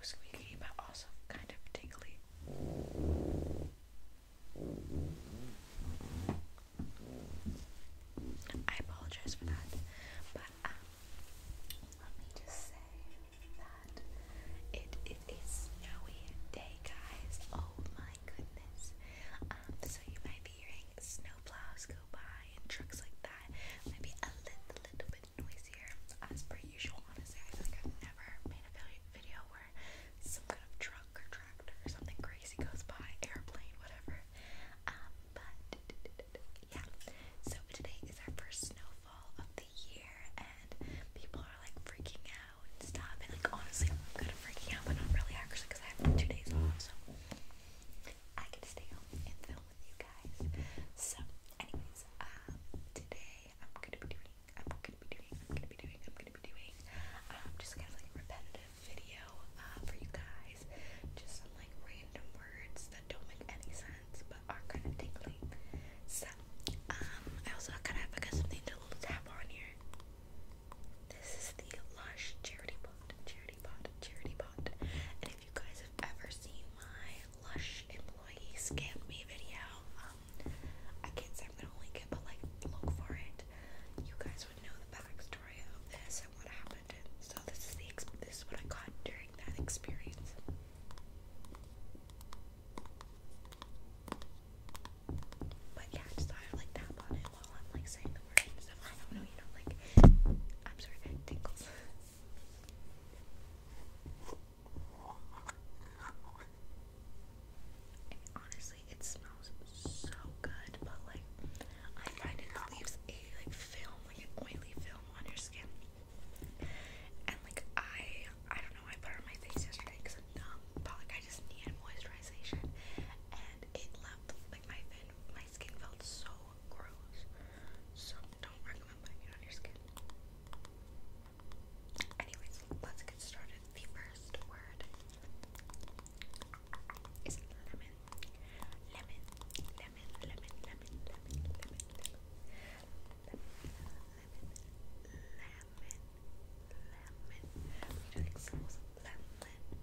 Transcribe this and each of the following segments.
so squeaky but also kind of tingly. I apologize for that, but um, let me just say that it is snowy day, guys. Oh my goodness! Um, so you might be hearing snowplows go by and trucks like that. Maybe a little bit noisier as per usual. Honestly, I feel like I've never made a video where some kind of truck or tractor or something crazy goes by, airplane, whatever. Um, but yeah. So today is our first snowfall of the year, and people are like freaking out and stuff. And like honestly, I'm kind of freaking out, but not really actually, because I have two days off, so I get stay home and film with you guys. So anyway, guys, um, today I'm gonna be doing, I'm gonna be doing, I'm gonna be doing, I'm gonna be doing, um, just kind of like a repetitive video, uh, for you guys. Just some like random words that don't make any sense but are kind of tingly. So, um, I also kind of got something to tap on here. This is the Lush Charity Pot, Charity Pot, Charity Pot. And if you guys have ever seen my Lush employee scammed me video. Um, I can't say I'm gonna link but like look for it. You guys would know the backstory of this and what happened. so this is the this is what I got during that experience. But yeah, just like tap on it while I'm like saying the word and stuff. I don't know, you know, like I'm sorry, it honestly, it smells so good, but like I find it leaves a like film, like an oily film on your skin. And like I, I don't know, I put on my face yesterday because I'm numb, but like I just needed moisturization, and it left like my fin, my skin felt so gross. So don't recommend putting it on your skin. Anyways, let's get started. The first word is lemon. Lemon, lemon, lemon, lemon, lemon, lemon, lemon. Lemon, lemon, We do like sauce. Lemon,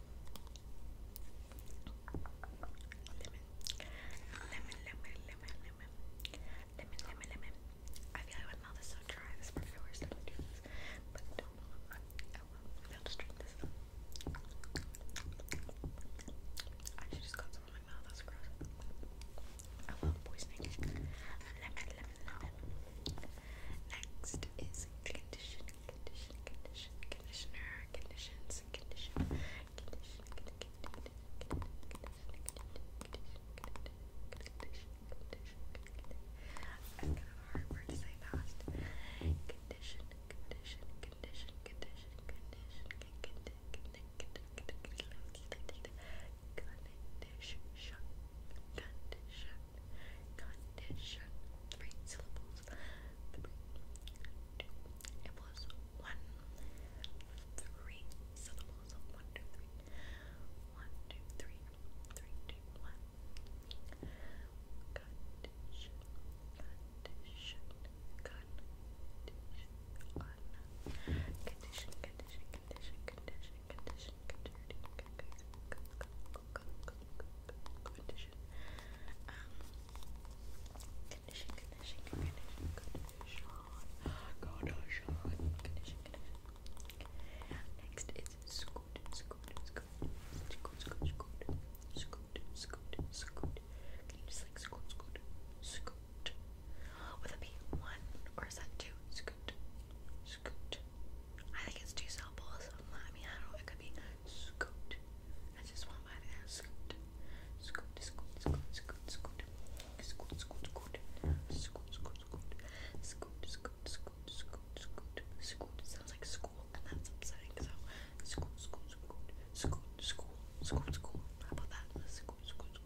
lemon, lemon, lemon, lemon, lemon, lemon, lemon. I feel like my mouth is so dry. This part I always to do this, I should just got some my mouth. That's gross. I love poisoning. Lemon, lemon, lemon. Next is condition, condition, condition, conditioner, conditions, condition, condition, condition, condition, condition, condition, kind of hard word to say fast. Condition, condition, condition, condition, condition, condition, condition, condition, Condition. Three syllables. Three, syllables. One, two, three. One, two, three. Three, two, one. Condition, condition, condition, condition, condition, condition, condition, condition, condition, condition, condition, condition, condition, Next is scoot, scoot, scoot, scoot, scoot, scoot, scoot, scoot. Can you just like scoot, scoot, scoot? Would that be one or is that two? Scoot, scoot, I think it's too syllables. I mean, I don't know. It could be scoot. I just want my there. Scoot. Scoot, scoot, scoot, scoot, scoot. Scoot, scoot, scoot. Scoot, scoot, scoot. Scoot, scoot, scoot, scoot, scoot. Scoot sounds like school, and that's upsetting. So, scoot, scoot, scoot. Scoot, school. Scoot, school. How about that? Scoot, scoot, scoot.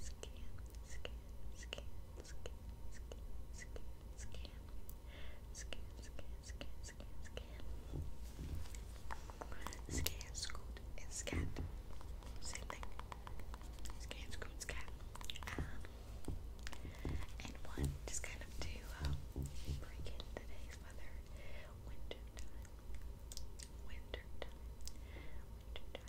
scan, scan, scan, scan, scan, scan, scan, scan, scan, scan, scan, scan, scan, scoot, and scan. Same thing. Scan, scoot, scan. Um, and one just kind of to um, break in today's weather. Winter time. Winter time. Winter time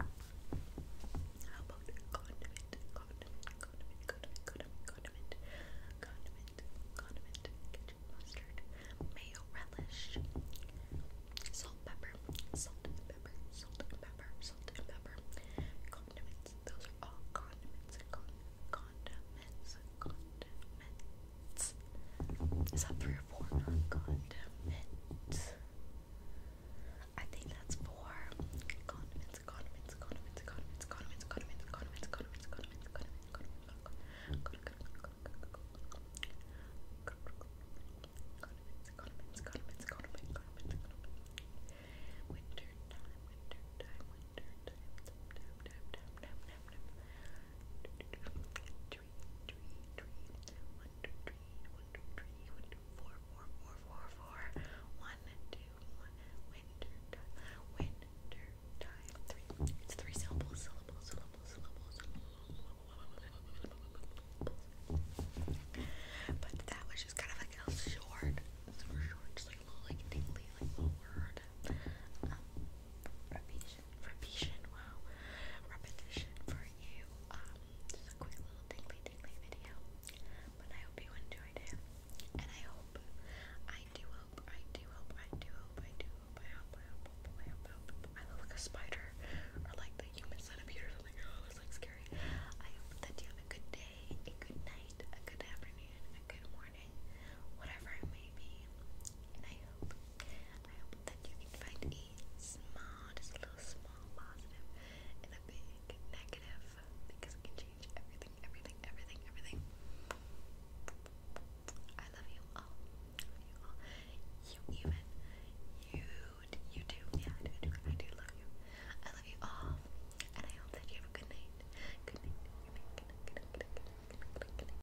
How about condiment, condiment, condiment, condiment, condiment, condiment, condiment, condiment, ketchup, mustard, mayo, relish, salt, pepper, salt pepper, salt pepper, salt pepper, condiments. Those are all condiments. Con condiments, condiments. Is that three performer. Condiments. I think that's for condiments, condiments, condiments, condiments, condiments, condiments, condiments, condiments, condiments, condiments, condiments, condiments, condiments, condiments, Winter time, winter time, winter time, time, time, time, time, time, time three, three, three, one, two, three, one, two, three, one, two, four, four, four, four, four, one, two, one, winter It's three syllables, syllables, syllables, syllables. But that was just kind of like a short, super short, just like a little like tingly, like little word. Repetition, repetition, wow. Repetition for you. Um, just a quick little tingly tingly video. But I hope you enjoyed it. And I hope, I do hope, I do hope, I do hope, I do hope, I hope, I hope, I hope, I hope, I look like a spider or like the human centipede or something. Oh, that's like scary. I hope that you have a good day, a good night, a good afternoon, a good morning, whatever it may be. I hope I hope that you can find a small, just a little small positive and a big negative because it can change everything, everything, everything, everything. I love you all. I love you all. You even. You you do. Yeah, I do. I do. I do love you. I love you all. And I hope that you have a good night. Good night. Good night. Good night. Good night. Good night. Good night. Good night. Good night.